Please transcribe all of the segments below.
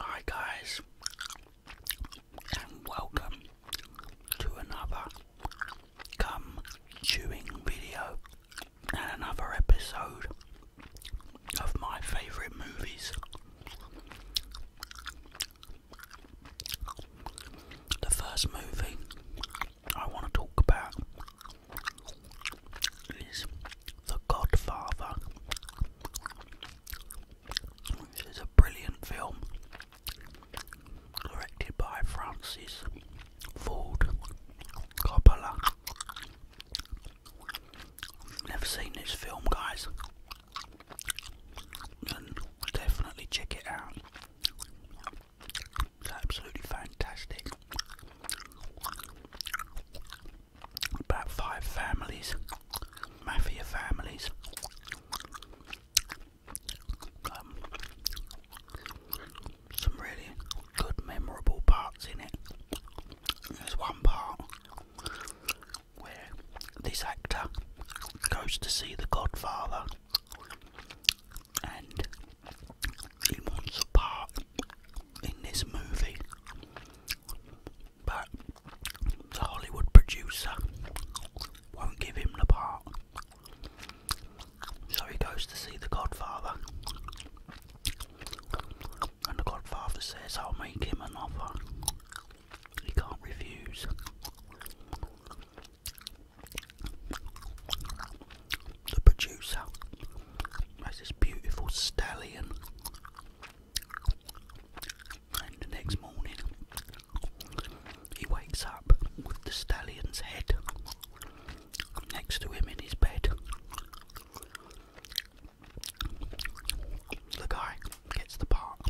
Hi guys, and welcome to another gum chewing video and another episode of my favourite movies. The first movie I want to talk about is The Godfather, which is a brilliant film directed by Francis Ford Coppola. Never seen this film, guys, definitely check it out. It's absolutely fantastic. About five families, mafia families. Um, some really good, memorable parts in it. There's one part where this actor goes to see the Godfather and he wants a part in this movie, but the Hollywood producer won't give him the part. So he goes to see the Godfather, and the Godfather says, I'll make him an offer. He can't refuse. The producer has this beautiful stallion, and the next morning he wakes up with the stallion's head next to him in his bed. The guy gets the part.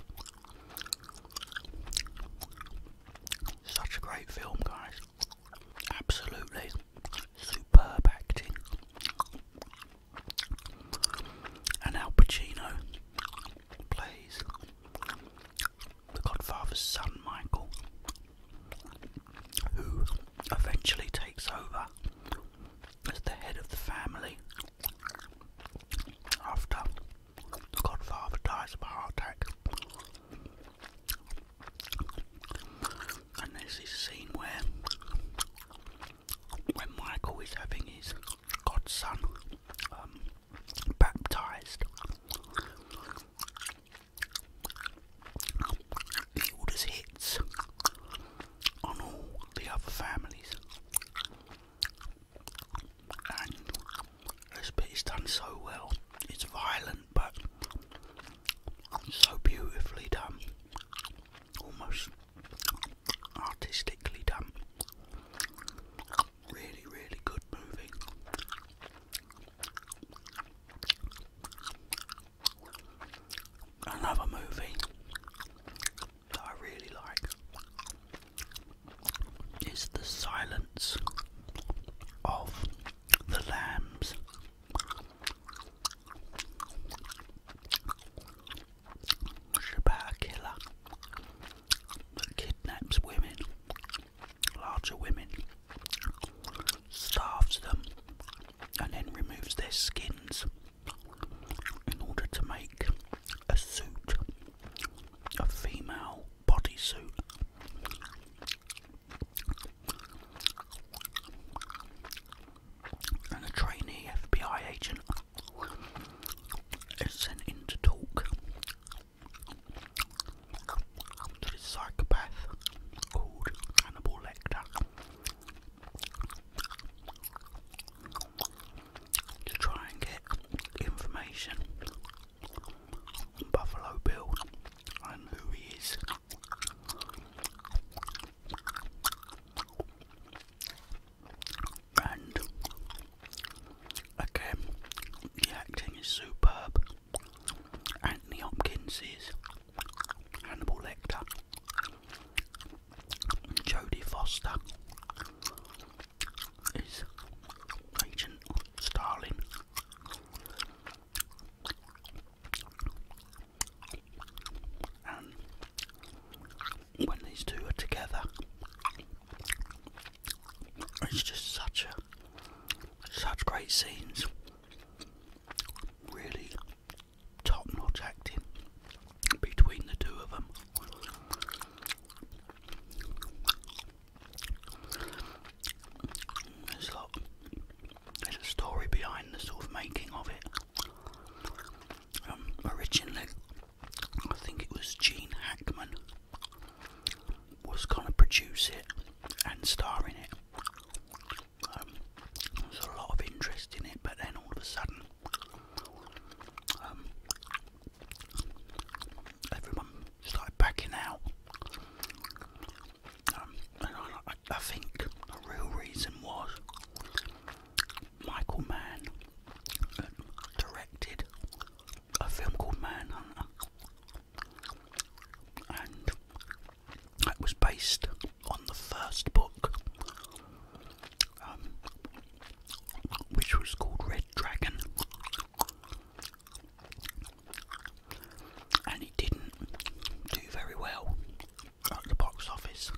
Such a great film, guys. Absolutely superb acting. And Al Pacino plays the Godfather's son Michael, who eventually takes over as the head of the family after the Godfather dies of a heart attack. And there's this scene where when Michael is having his godson um, baptized, he orders hits on all the other families, and this bit is done so well. It's violent but so beautifully done, almost artistically done. Really, really good moving. Another movie that I really like is The Silence of the lambs. She's kidnaps women, larger women, starves them, and then removes their skins in order to make a suit, a female bodysuit. And the trainee FBI agent is sent in to talk to this psychopath called Hannibal Lecter to try and get information on Buffalo Bill and who he is. And again, the acting is superb. Anthony Hopkins is Hannibal Lecter. Jodie Foster is Agent Starling. And when these two are together, it's just such a such great scenes. Really top-notch acting between the two of them. There's a lot there's a story behind the sort of making of it. Um, originally, I think it was Gene Hackman was gonna produce it and star in it. Um, there was a lot of interest in it, but then all of a sudden, um, everyone started backing out. Um, I, think the real reason was Michael Mann uh, directed a film called Manhunter, and that was based on the first book, um, which was called Red Dragon and it didn't do very well at the box office.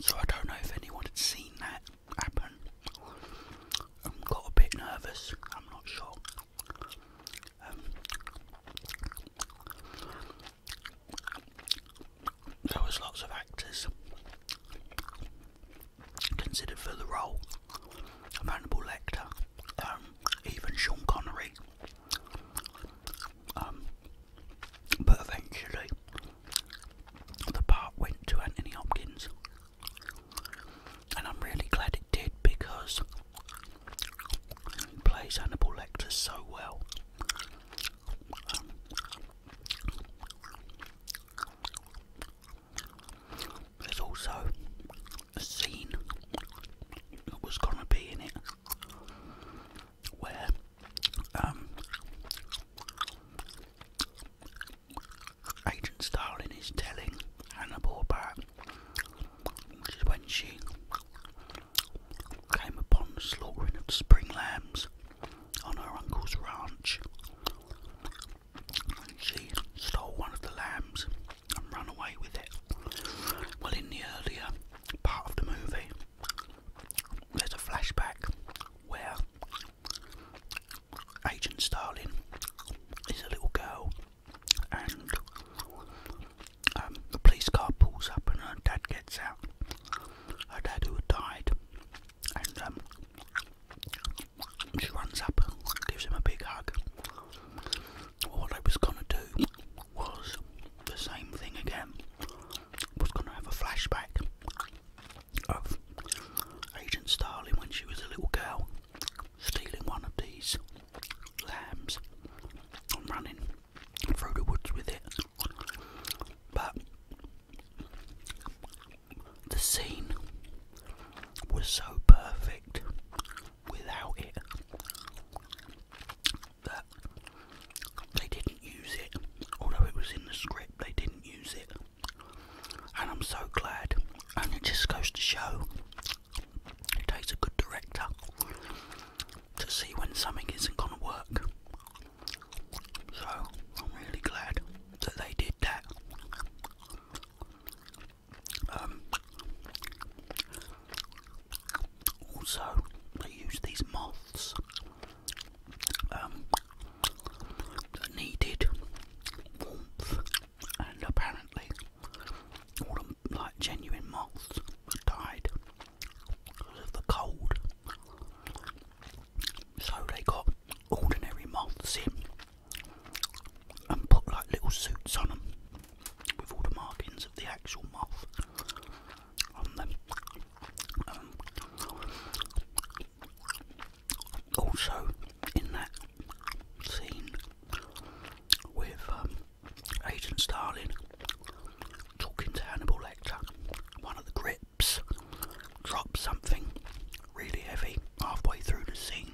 So I don't know if anyone had seen that happen. I'm um, got a bit nervous. I'm not sure. Um, there was lots of actors considered for the role of Hannibal Lecter. Um, even Sean Connery. Um, but eventually, the part went to Anthony Hopkins, and I'm really glad it did because he plays Hannibal Lecter so well. Um, there's also a scene that was gonna be in it where um, Agent Starling is telling Hannibal about which is when she came upon the slaughter of the spring lambs on her uncle's ranch. and She stole one of the lambs and run away with it. Well, in the earlier part of the movie, there's a flashback where Agent Starling is a little girl, and um, the police car pulls up, and her dad gets out. Her dad, who had died, and um, she runs up and gives him a big hug what I was gonna do was the same thing again. Was gonna have a flashback of Agent Starling when she was a little girl stealing one of these lambs and running through the woods with it. But the scene was so perfect without it. That they didn't use it, although it was in the script, they didn't use it. And I'm so glad. And it just goes to show it takes a good director to see when something isn't going to work. So I'm really glad that they did that. Um, also, they use these moths um, that needed warmth, and apparently, all the like genuine moths died because of the cold. So they got ordinary moths in and put like little suits on them with all the markings of the actual moth on them. Um, also, in that scene with um, Agent Starling talking to Hannibal Lecter, one of the grips drops something really heavy halfway through the scene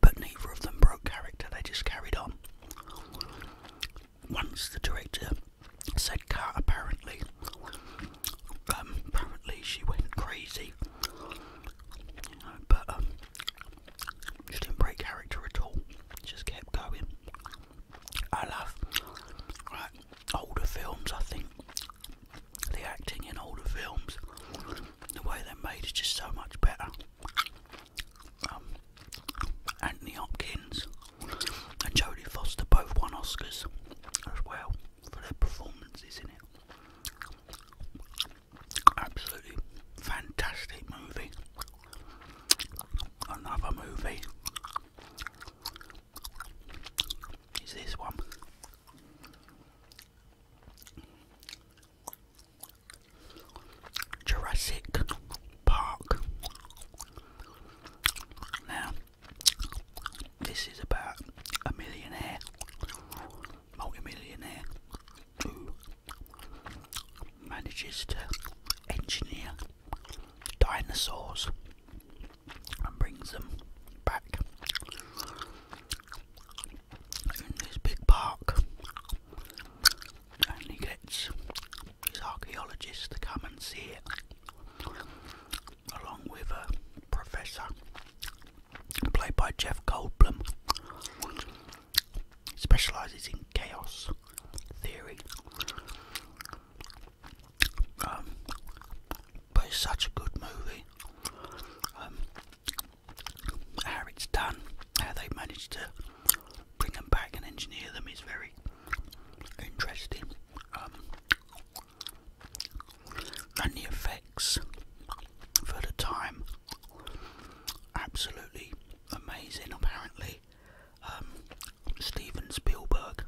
but neither of them broke character, they just carried on. Once the director said cut, apparently, um, apparently she went crazy. but um, she didn't break character at all, just kept going. I love older films, I think. The acting in older films, the way they're made is just so much better. Um, Anthony Hopkins and Jodie Foster both won Oscars as well for their performances Isn't it. Absolutely fantastic movie. Another movie is this one. Jurassic Park. Now, this is about a millionaire, multi-millionaire, who manages to engineer dinosaurs and brings them back in this big park, and gets his archaeologists to come and see it, along with a professor played by Jeff Goldblum, specialises in chaos theory. Um, but it's such a good movie. Um, how it's done, how they managed to bring them back and engineer them is very interesting. Um, and the effects for the time, absolutely amazing. Apparently, um, Steven Spielberg,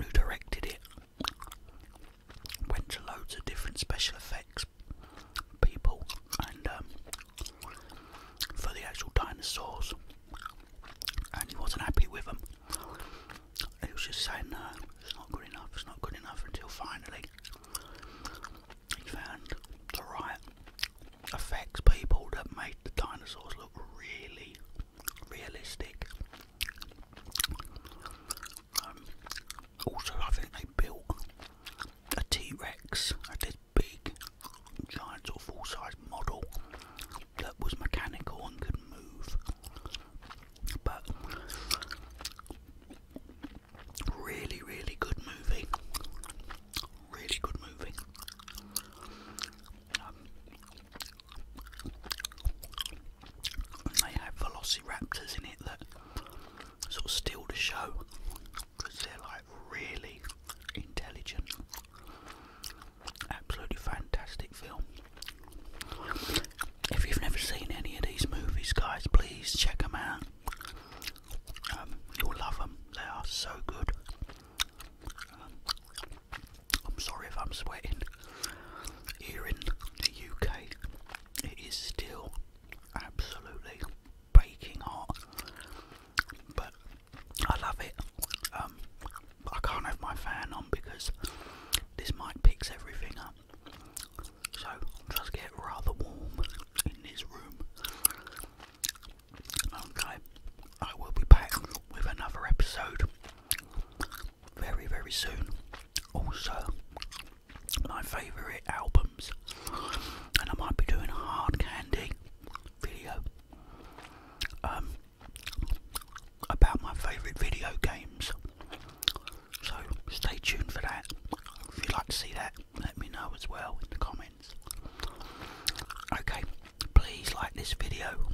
who directed it, went to loads of different special effects people and um, for the actual dinosaurs, and he wasn't happy with them. He was just saying, "No, it's not good enough. It's not good enough." Until finally, he found the right effects people that made the dinosaurs look really realistic. Um, also, I think they built a T Rex, like this big, giant, or full size model that was mechanical and could move. But really, really good movie. Really good movie. and um, they had velociraptors in it that sort of steal the show because they're like really intelligent. Absolutely fantastic film. If you've never seen any of these movies, guys, please check them out. Um, you'll love them. They are so good. Um, I'm sorry if I'm sweating. Here in the UK, it is still absolutely baking hot, but I love it. Um, I can't have my fan on because this mic picks everything up, so it get rather warm in this room. Okay, I will be back with another episode very, very soon. Also, my favourite albums and I might be doing a hard candy video um, about my favourite video games. So stay tuned for that. If you'd like to see that, let me know as well in the comments. Okay, please like this video.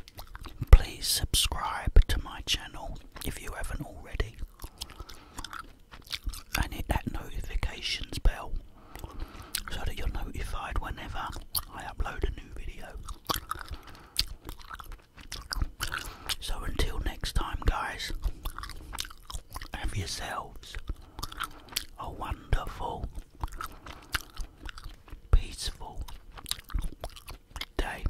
Please subscribe to my channel if you haven't already and hit that notifications bell so that you're notified whenever I upload a new video. So until next time, guys, have yourselves a wonderful, peaceful day.